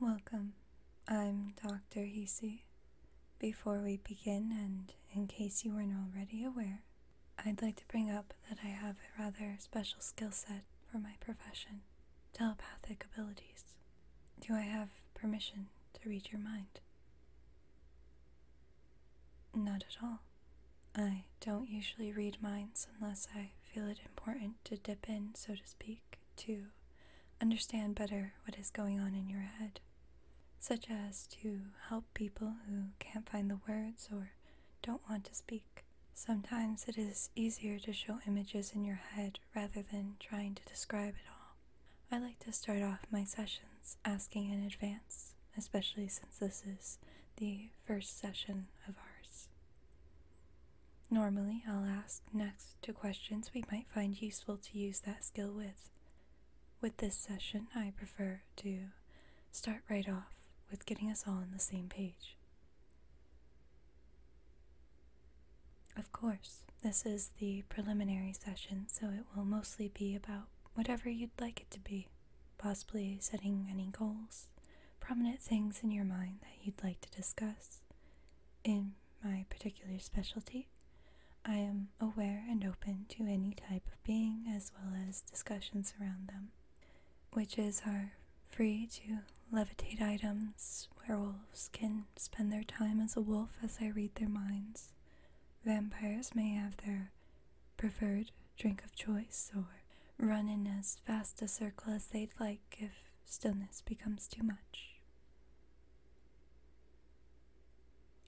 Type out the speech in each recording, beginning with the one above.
Welcome. I'm Dr. Heasy. Before we begin, and in case you weren't already aware, I'd like to bring up that I have a rather special skill set for my profession telepathic abilities. Do I have permission to read your mind? Not at all. I don't usually read minds unless I feel it important to dip in, so to speak to understand better what is going on in your head, such as to help people who can't find the words or don't want to speak. Sometimes it is easier to show images in your head rather than trying to describe it all. I like to start off my sessions asking in advance, especially since this is the first session of ours. Normally, I'll ask next to questions we might find useful to use that skill with. With this session, I prefer to start right off with getting us all on the same page. Of course, this is the preliminary session, so it will mostly be about whatever you'd like it to be, possibly setting any goals, prominent things in your mind that you'd like to discuss, in my particular specialty, I am aware and open to any type of being as well as discussions around them, witches are free to levitate items, werewolves can spend their time as a wolf as I read their minds, vampires may have their preferred drink of choice or run in as fast a circle as they'd like if stillness becomes too much.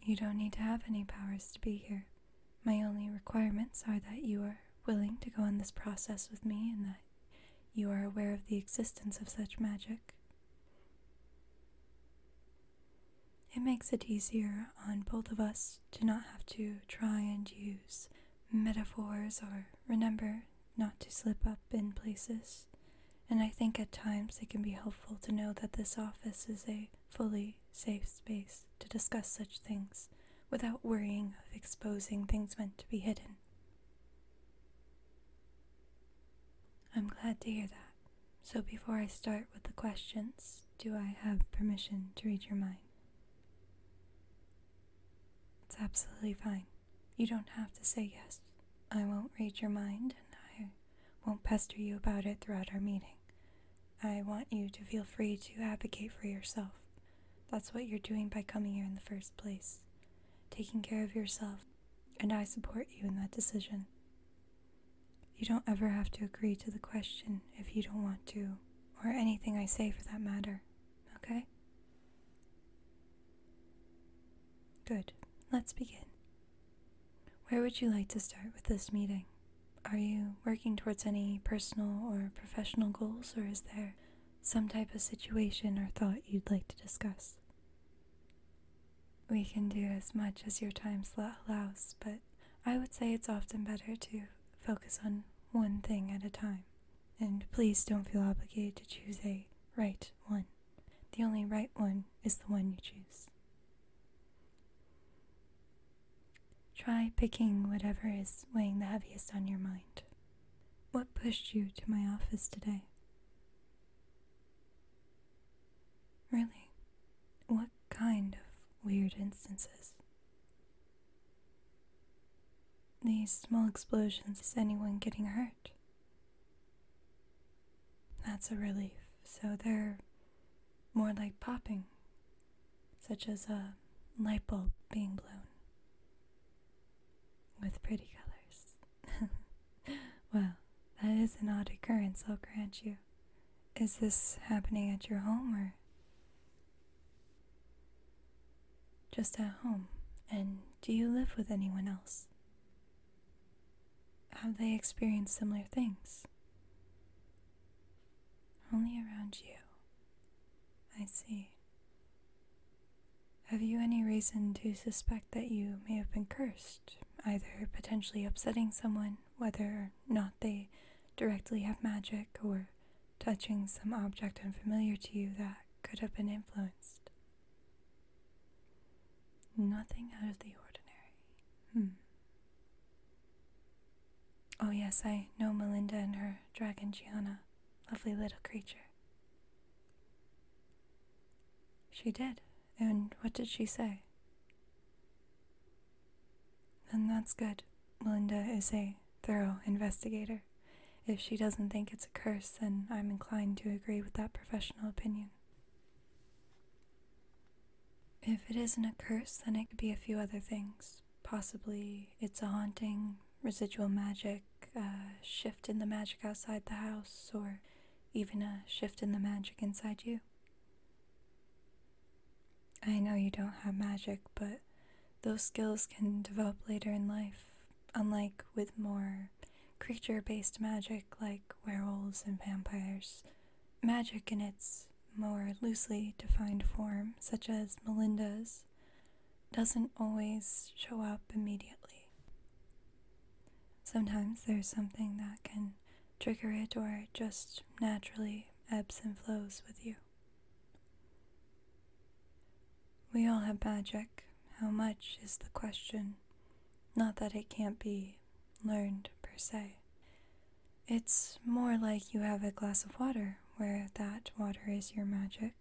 You don't need to have any powers to be here. My only requirements are that you are willing to go on this process with me and that you are aware of the existence of such magic. It makes it easier on both of us to not have to try and use metaphors or remember not to slip up in places, and I think at times it can be helpful to know that this office is a fully safe space to discuss such things without worrying of exposing things meant to be hidden. I'm glad to hear that. So, before I start with the questions, do I have permission to read your mind? It's absolutely fine. You don't have to say yes. I won't read your mind and I won't pester you about it throughout our meeting. I want you to feel free to advocate for yourself. That's what you're doing by coming here in the first place. Taking care of yourself, and I support you in that decision. You don't ever have to agree to the question if you don't want to, or anything I say for that matter, okay? Good. Let's begin. Where would you like to start with this meeting? Are you working towards any personal or professional goals, or is there some type of situation or thought you'd like to discuss? We can do as much as your time slot allows, but I would say it's often better to focus on one thing at a time. And please don't feel obligated to choose a right one. The only right one is the one you choose. Try picking whatever is weighing the heaviest on your mind. What pushed you to my office today? Really, what kind of weird instances? These small explosions, is anyone getting hurt? That's a relief. So they're more like popping, such as a light bulb being blown with pretty colors. well, that is an odd occurrence, I'll grant you. Is this happening at your home or? Just at home. And do you live with anyone else? Have they experienced similar things? Only around you. I see. Have you any reason to suspect that you may have been cursed, either potentially upsetting someone, whether or not they directly have magic, or touching some object unfamiliar to you that could have been influenced? Nothing out of the ordinary. Hmm. Oh, yes, I know Melinda and her dragon Gianna. Lovely little creature. She did. And what did she say? Then that's good. Melinda is a thorough investigator. If she doesn't think it's a curse, then I'm inclined to agree with that professional opinion. If it isn't a curse, then it could be a few other things. Possibly it's a haunting, residual magic, a shift in the magic outside the house, or even a shift in the magic inside you. I know you don't have magic, but those skills can develop later in life, Unlike with more creature based magic like werewolves and vampires, magic in its more loosely defined form, such as Melinda's, doesn't always show up immediately. Sometimes there's something that can trigger it or it just naturally ebbs and flows with you. We all have magic. How much is the question? Not that it can't be learned per se. It's more like you have a glass of water where that water is your magic.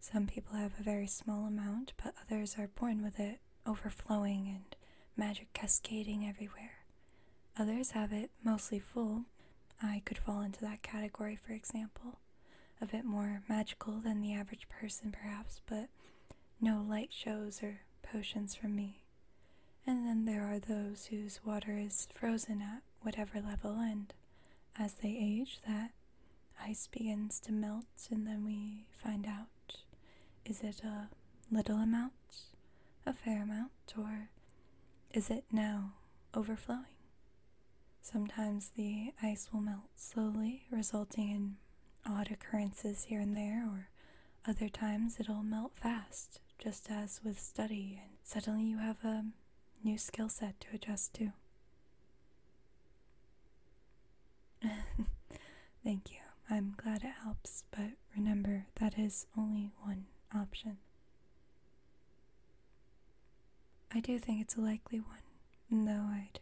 Some people have a very small amount, but others are born with it overflowing and magic cascading everywhere. Others have it mostly full. I could fall into that category, for example a bit more magical than the average person, perhaps, but no light shows or potions from me. And then there are those whose water is frozen at whatever level, and as they age, that ice begins to melt, and then we find out is it a little amount, a fair amount, or is it now overflowing? Sometimes the ice will melt slowly, resulting in odd occurrences here and there, or other times it'll melt fast, just as with study, and suddenly you have a new skill set to adjust to. Thank you. I'm glad it helps, but remember that is only one option. I do think it's a likely one, no, I'd,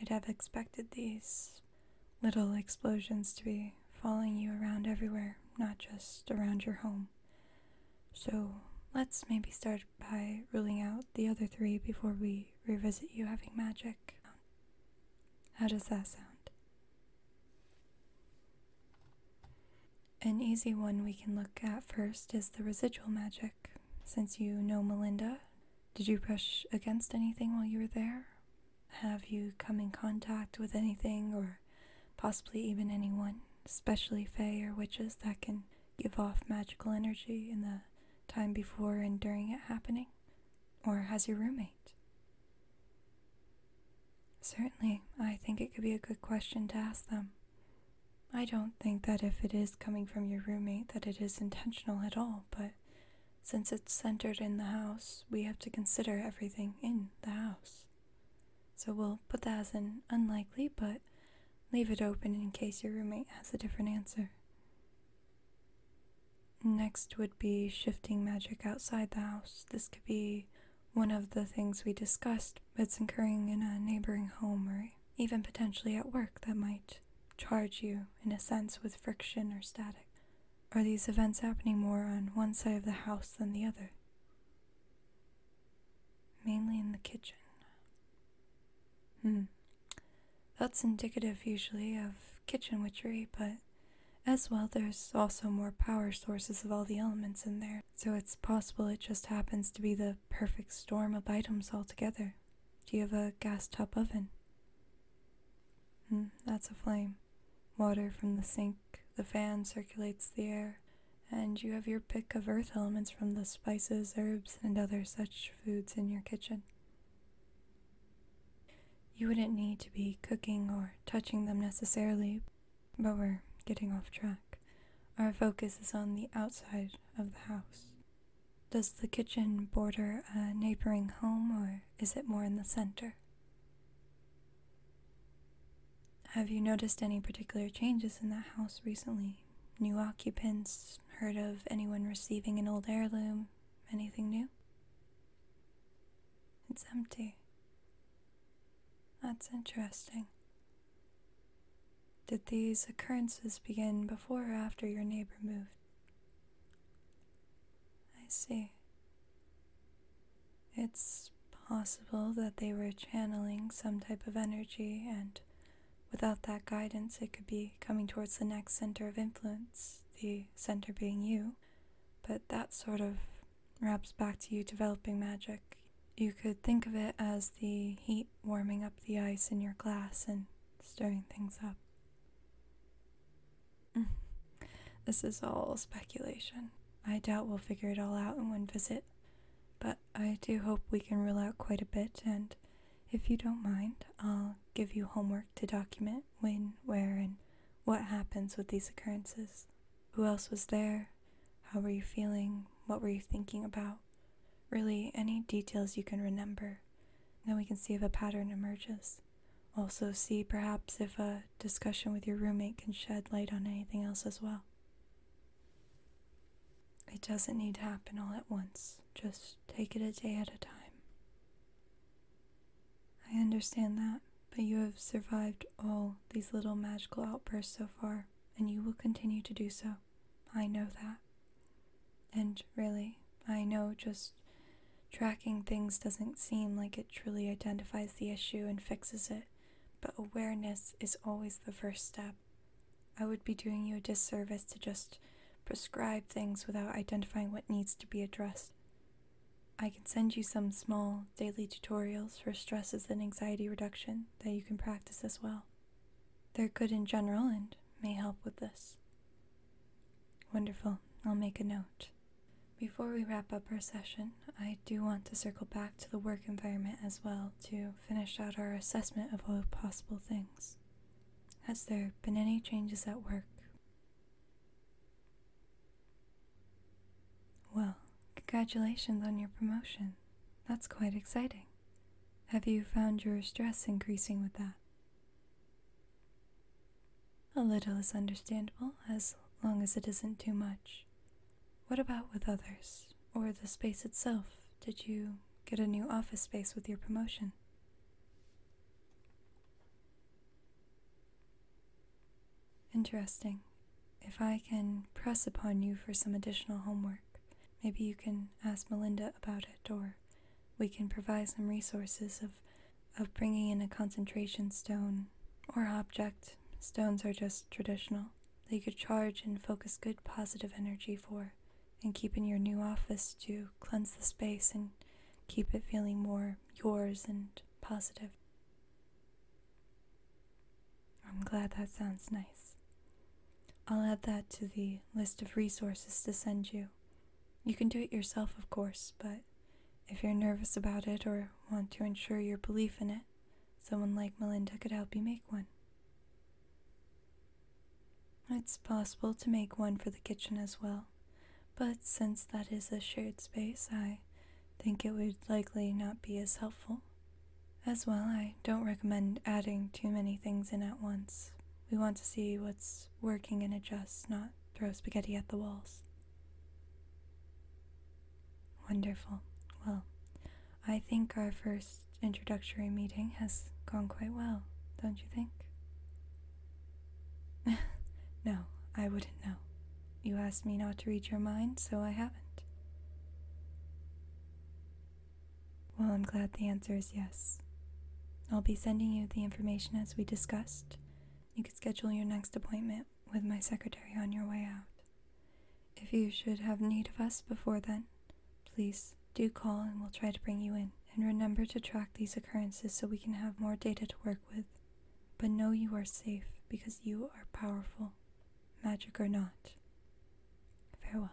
I'd have expected these little explosions to be following you around everywhere, not just around your home. So let's maybe start by ruling out the other three before we revisit you having magic. How does that sound? An easy one we can look at first is the residual magic. Since you know Melinda, did you brush against anything while you were there? Have you come in contact with anything or possibly even anyone, especially Fey or witches that can give off magical energy in the time before and during it happening? Or has your roommate? Certainly, I think it could be a good question to ask them. I don't think that if it is coming from your roommate that it is intentional at all, but since it's centered in the house, we have to consider everything in the house. So we'll put that as an unlikely, but leave it open in case your roommate has a different answer. Next would be shifting magic outside the house. This could be one of the things we discussed, it's occurring in a neighboring home or even potentially at work that might charge you, in a sense, with friction or static? Are these events happening more on one side of the house than the other? Mainly in the kitchen. Hmm. That's indicative usually of kitchen witchery, but as well, there's also more power sources of all the elements in there, so it's possible it just happens to be the perfect storm of items all together. Do you have a gas top oven? Hmm, that's a flame. Water from the sink, the fan circulates the air, and you have your pick of earth elements from the spices, herbs, and other such foods in your kitchen. You wouldn't need to be cooking or touching them necessarily, but we're getting off track. Our focus is on the outside of the house. Does the kitchen border a neighboring home or is it more in the center? Have you noticed any particular changes in that house recently? New occupants? Heard of anyone receiving an old heirloom? Anything new? It's empty. That's interesting. Did these occurrences begin before or after your neighbor moved? I see. It's possible that they were channeling some type of energy, and without that guidance, it could be coming towards the next center of influence, the center being you. But that sort of wraps back to you developing magic. You could think of it as the heat warming up the ice in your glass and stirring things up. Mm. this is all speculation. I doubt we'll figure it all out in one visit, but I do hope we can rule out quite a bit, and if you don't mind, I'll give you homework to document when, where, and what happens with these occurrences. Who else was there? How were you feeling? What were you thinking about? Really, any details you can remember. Then we can see if a pattern emerges. Also, see perhaps if a discussion with your roommate can shed light on anything else as well. It doesn't need to happen all at once, just take it a day at a time. I understand that, but you have survived all these little magical outbursts so far, and you will continue to do so. I know that. And really, I know just tracking things doesn't seem like it truly identifies the issue and fixes it, but awareness is always the first step. I would be doing you a disservice to just prescribe things without identifying what needs to be addressed. I can send you some small daily tutorials for stresses and anxiety reduction that you can practice as well. They're good in general and may help with this. Wonderful. I'll make a note. Before we wrap up our session, I do want to circle back to the work environment as well to finish out our assessment of all possible things. Has there been any changes at work? Well, congratulations on your promotion. That's quite exciting. Have you found your stress increasing with that? A little is understandable as long as it isn't too much. What about with others, or the space itself? Did you get a new office space with your promotion? Interesting. If I can press upon you for some additional homework, maybe you can ask Melinda about it or we can provide some resources of, of bringing in a concentration stone or object. Stones are just traditional. They could charge and focus good positive energy for, and keep in your new office to cleanse the space and keep it feeling more yours and positive. I'm glad that sounds nice. I'll add that to the list of resources to send you you can do it yourself, of course, but if you're nervous about it or want to ensure your belief in it, someone like Melinda could help you make one. It's possible to make one for the kitchen as well, but since that is a shared space, I think it would likely not be as helpful. As well, I don't recommend adding too many things in at once. We want to see what's starts working and adjusts, not throw spaghetti at the walls. Wonderful. Well, I think our first introductory meeting has gone quite well, don't you think? no, I wouldn't know. You asked me not to read your mind, so I haven't. Well, I'm glad the answer is yes. I'll be sending you the information as we discussed. You could schedule your next appointment with my secretary on your way out. If you should have need of us before then, please do call and we'll try to bring you in. And remember to track these occurrences so we can have more data to work with. But know you are safe because you are powerful, magic or not. Farewell.